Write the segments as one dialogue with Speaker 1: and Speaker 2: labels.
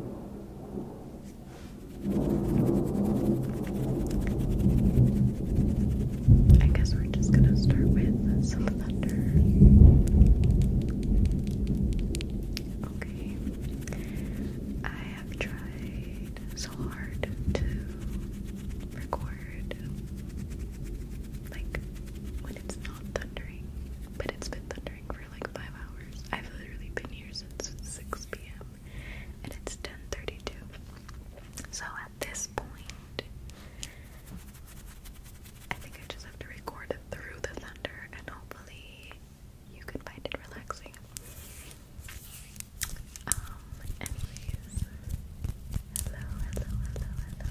Speaker 1: I guess we're just gonna start with some thunder. Okay, I have tried so hard to record like when it's not thundering, but it's been thundering for like five hours. I've literally been here since 6 p.m. and it's 10:32. So at this point, I think I just have to record it through the thunder, and hopefully, you can find it relaxing. Um. hello, hello, hello, hello, hello.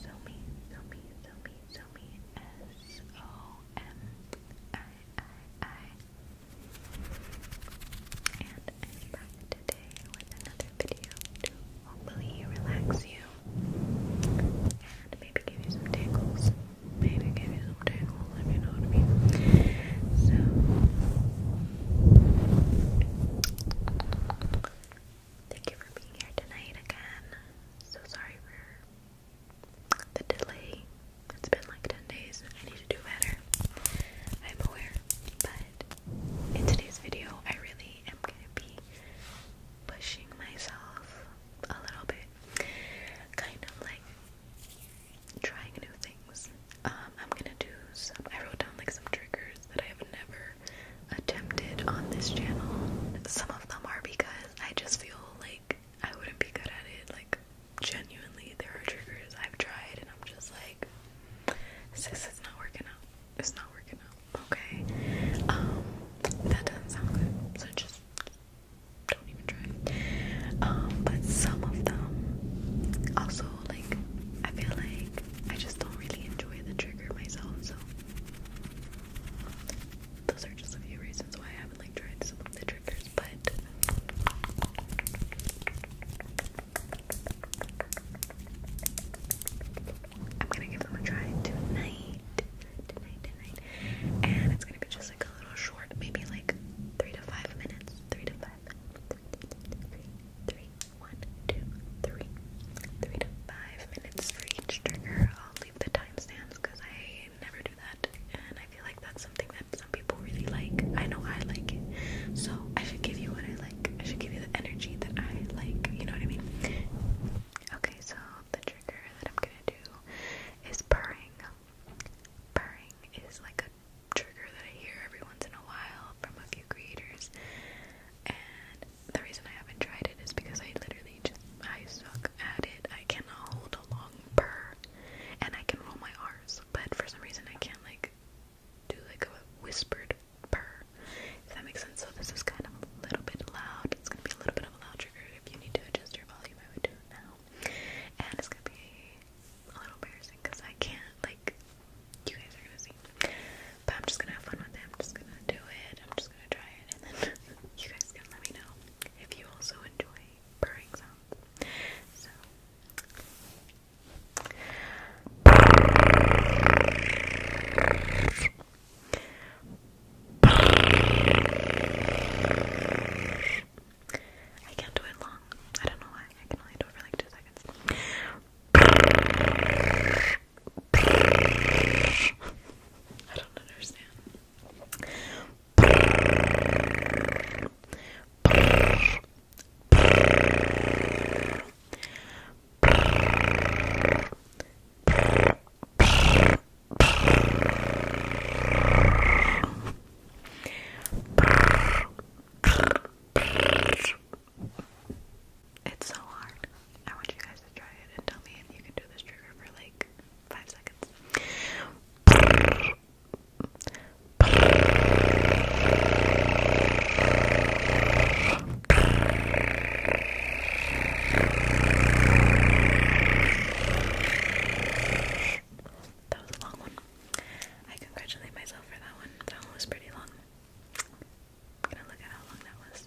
Speaker 1: Somi, Somi, Somi, Somi, S O M I I I. And I'm back today with another video to hopefully relax you and maybe give you some tingles, maybe give you someday will live, know what I mean? So thank you for being here tonight again. So sorry for the delay. It's been like 10 days. I need to do better. I'm aware. But in today's video, I really am going to be pushing myself a little bit. Kind of like trying new things. Um, I'm gonna do some. I wrote down like some triggers that I have never attempted on this channel. Some of them are because I just feel like I wouldn't be good at it. Like genuinely, there are triggers I've tried and I'm just like, sis, it's not working out. It's not working out. Okay. Um, that doesn't sound good. So just don't even try. Um, but some of them also like I feel like I just don't really enjoy the trigger myself, so those are just a few reasons why I haven't like tried some of the triggers, but I'm gonna give them a try tonight. Tonight, tonight. And it's gonna be just like a little short, maybe like three to five minutes. Three to five. Three, three, one, two, three. Three to five minutes for each trigger. I'll leave the timestamps because I never do that, and I feel like that's something that some people really like. I know I like it, so I should give you what I like. I should give you the energy that I like. You know what I mean? Okay, so the trigger that I'm gonna do is purring. Purring is like a trigger that I hear every once in a while from a few creators, and the reason I haven't tried it is because I literally just I suck at it. I cannot hold a long purr, and I can roll my R's, but for some reason I can't like do like a whispered purr. If that makes sense. So this is kind of a little bit loud. It's gonna be a little bit of a loud trigger. If you need to adjust your volume, I would do now and it's gonna be a little embarrassing because I can't, like, you guys are gonna see. But I'm just gonna have fun with it. I'm just gonna do it. I'm just gonna try it, and then you guys can let me know if you also enjoy purring sounds. So. I can't do it long. I don't know why. I can only do it for like two seconds. I don't understand. It's so hard. I want you guys to try it and tell me if you can do this trigger for like five seconds. That was a long one. I congratulate myself for that one. That one was pretty long. gonna look at how long that was.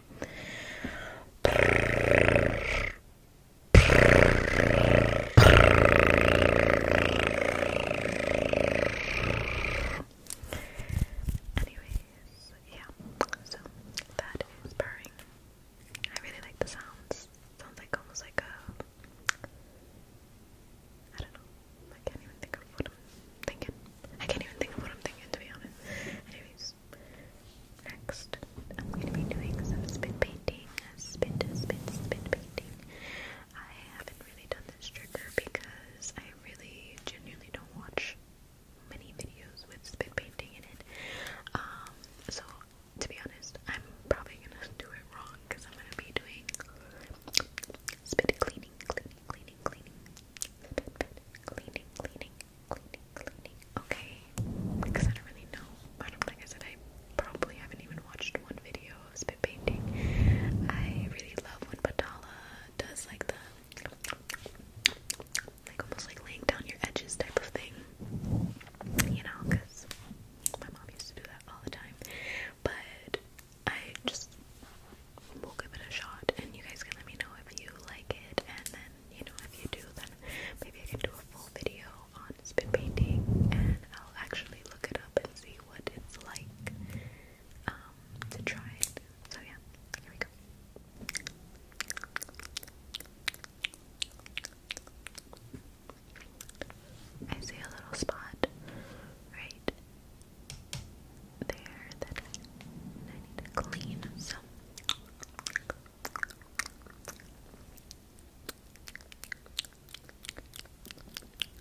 Speaker 1: Anyways, yeah, so that is purring. I really like the sounds. Sounds like almost like a I don't know. I can't even think of what I'm thinking. I can't even think of what I'm thinking to be honest. Anyways, Next, I'm going to be doing some spit painting. Spit, spit, spit painting. I haven't really done this trigger because I really genuinely don't watch many videos with spit painting in it. Um, so to be honest, I'm probably gonna do it wrong because I'm gonna be doing spit cleaning, cleaning, cleaning, cleaning, spit, cleaning, cleaning, Okay, because I don't really know. I don't like I said I probably haven't even watched one video of spit painting. I really love when Patala does like the like almost like laying down your edges type of thing. You know, because my mom used to do that all the time. But I just we'll give it a shot and you guys can let me know if you like it and then you know if you do then maybe I can do a full video on spin painting and I'll actually look it up and see what it's like um, to try it. So yeah, here we go. I see a little spot right there that I need to clean. So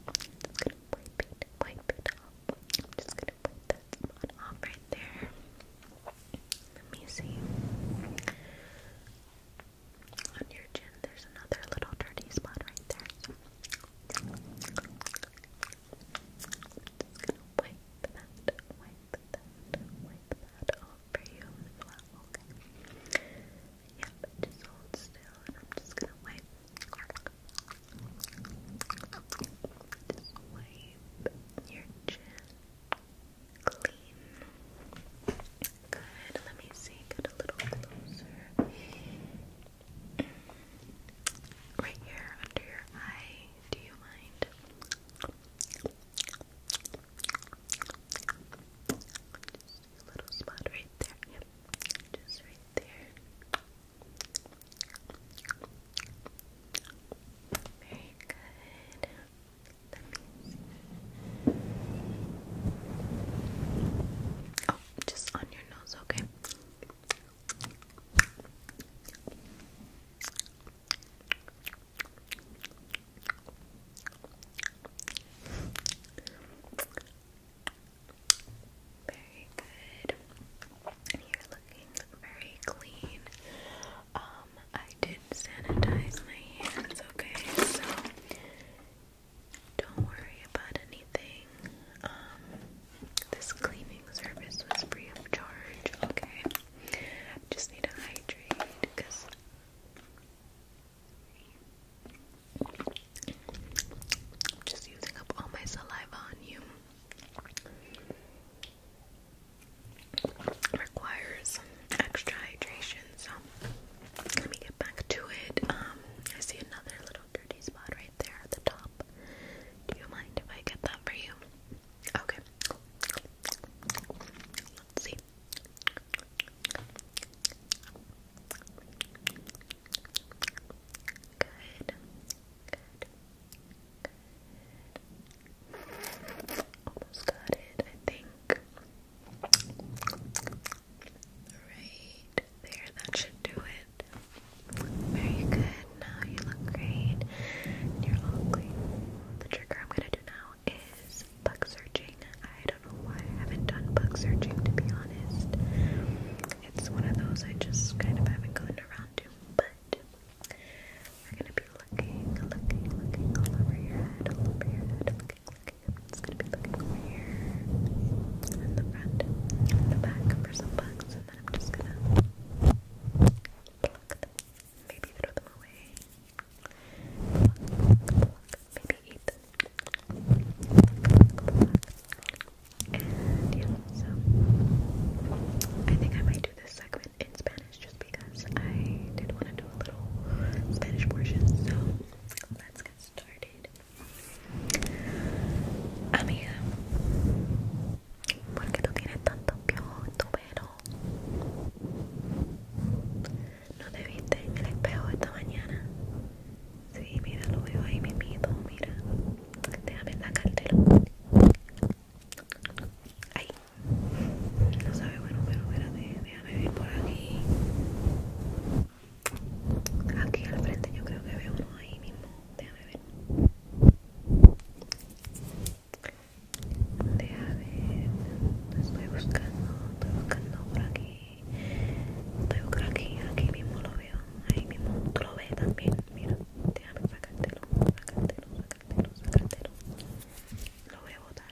Speaker 1: I'm just gonna wipe it, wipe it off. I'm just gonna wipe that spot off right there. Let me see. On your chin, there's another little dirty spot right there just gonna wipe that, wipe that, wipe that off for you as well, okay? Yep, just hold still and I'm just gonna wipe. Just wipe your chin clean. Good, let me see, get a little closer. Right here under your eye. Do you mind? Just a little spot right there. Yep. Just right there. Very good. Oh, just on your nose, okay? Very good. You're looking very clean. Um, I did sanitize my hands, okay? So don't worry about anything. Um, this cleaning service was free of charge. Okay. Just need to hydrate because just using up all my saliva on you. Requires extra hydration, so let me get back to it. Um, I see another little dirty spot right right there at the top. Do you mind if I get that for you? Okay. Let's see. Good. Good. Good. Almost got it, I think. Right there, that should do it. Very good. Now you look great. you're all The trigger I'm gonna do now is bug searching. I don't know why I haven't done bug searching to be honest. It's one of those I just kind of haven't gotten around to, but we're gonna be looking, looking, looking all over your head, all over your head, looking, looking. It's gonna be looking over here, in the front, in the back for some bugs, I'm just gonna pluck them. Maybe throw them away. Pluck, pluck, Maybe eat them. And yeah, so I think I might do this segment in Spanish just because I did want to do a little Spanish portion. So let's get started. Amiga, ¿por qué tú tienes tantos piojos en tu pelo? ¿No te viste en el espejo esta mañana? Sí, mira, lo veo ahí mismito, mira. Déjame sacártelo. ahí no sabe bueno, pero espérate, déjame ver por aquí. Aquí al frente yo creo que veo uno ahí mismo. Déjame ver. Déjame ver. Estoy buscando, estoy buscando por aquí. Estoy buscando aquí, aquí mismo lo veo. Ahí mismo tú lo ves también. Mira, déjame sacártelo, sacártelo, sacártelo, sacártelo. Lo voy a botar.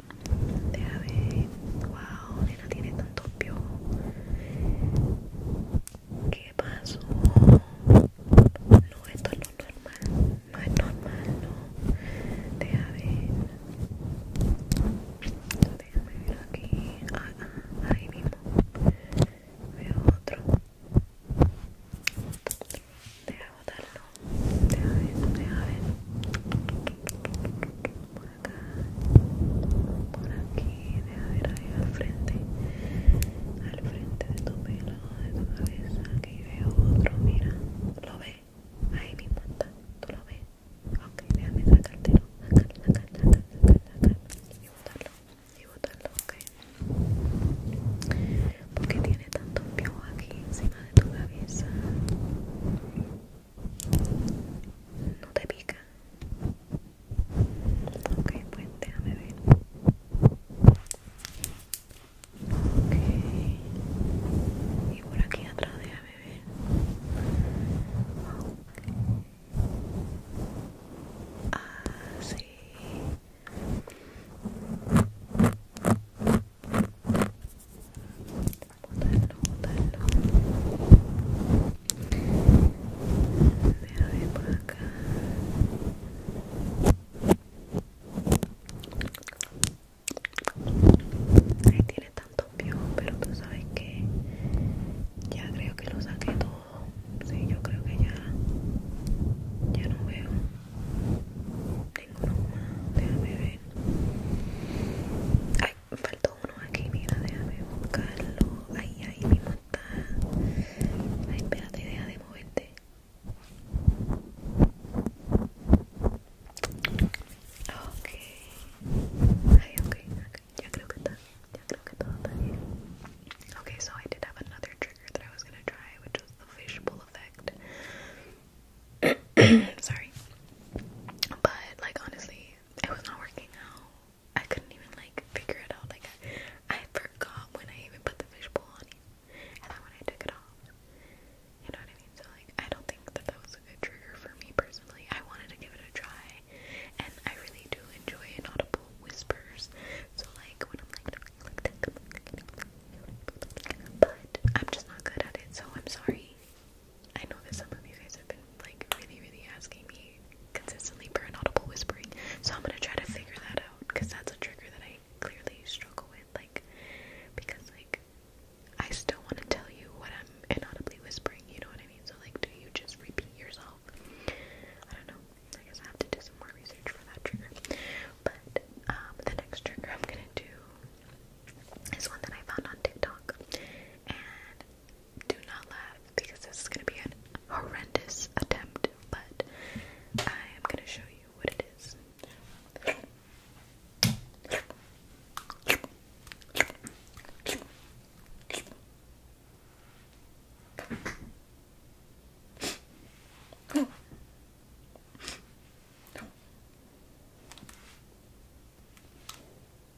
Speaker 1: Déjame. Wow, nena tiene tanto piojos. ¿Qué pasó? No, esto es es normal. No es normal, no. Deja ver. Déjame ver aquí. Ah, ah, ahí mismo. Veo otro. Deja botarlo. Deja ver, deja ver por acá, por aquí, deja ver ahí al frente, al frente de tu pelo, de tu cabeza, aquí veo otro, mira, lo ve, ahí mismo está, tú lo ves, ok, déjame sacártelo, sacártelo, sacártelo, sacártelo y botarlo, y botarlo, ok, porque tiene tanto pio aquí encima de tu cabeza. No te pica, Ok, pues déjame ver. Ok. Y por aquí atrás, déjame ver. beber. Ah, sí. Botarlo, botarlo. Déjame por acá. Ahí tiene tanto pio, pero tú sabes que ya creo que lo saqué todo. Sí, yo creo que ya, ya no veo. Tengo uno más, déjame ver. Ay, me faltó uno aquí, mira, déjame buscarlo. Ahí, ahí mismo está. Ay, espérate, deja de moverte. Ok. Ay, okay, okay. Ya creo que está. Ya creo que todo está bien. Okay, so I did have another trigger that I was gonna try, which was the fishbowl effect. Sorry. But like honestly, it was not working out. I couldn't even like figure it out. Like I, forgot when I even put the fishbowl on and then when I took it off. You know what I mean? So like, I don't think that that was a good trigger for me personally. I wanted to give it a try, and I really do enjoy inaudible whispers. So like, when I'm like, but I'm just not good at it. So I'm sorry. I know that some of you guys have been like really, really asking me consistently for an audible whispering, so I'm gonna try to figure that out because that's a trigger that I clearly struggle with. Like, because like I still want to tell you what I'm inaudibly whispering. You know what I mean? So like, do you just repeat yourself? I don't know. I guess I have to do some more research for that trigger. But um, the next trigger I'm gonna do is one that I found on TikTok, and do not laugh because this is going to be an horrendous attempt, but I am going to show you what it is.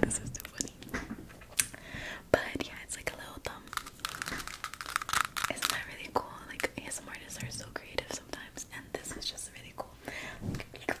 Speaker 1: this is too funny. But yeah, it's like a little thumb. Isn't that really cool? Like ASMR artists are so creative sometimes, and this is just really cool.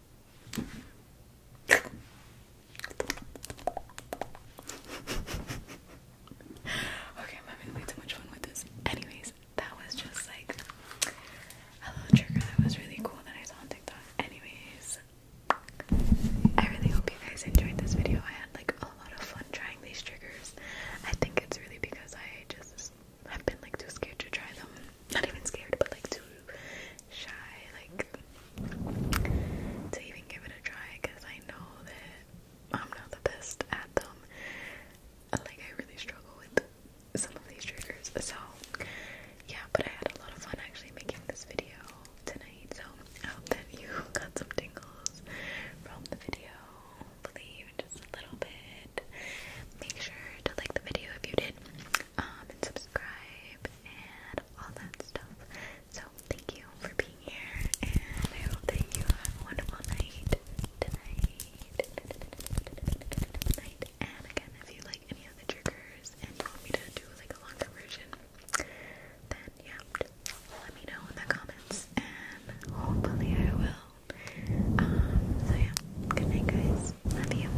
Speaker 1: okay, I'm having way too much with this. Anyways, that was just like a little trigger that was really cool that I saw on TikTok. Anyways, I really hope you guys enjoyed this video. I had like a lot of fun trying these triggers. I think it's really because I just have been like too scared to try them. Not even scared, but like too shy like to even give it a try because I know that I'm not the best at them. Like I really struggle with some of these triggers. So yeah, but I had a lot of fun actually making this video tonight. So I hope that you got some tingles from the video. Believe just a little bit. Make sure to like the video if you did. Um, and subscribe and all that stuff. So, thank you for being here, and I hope that you have a wonderful night tonight. And again, if you like any of the triggers and you want me to do like a longer version, then yeah, let me know in the comments, and hopefully I will. Um, so yeah, good night, guys. Love you.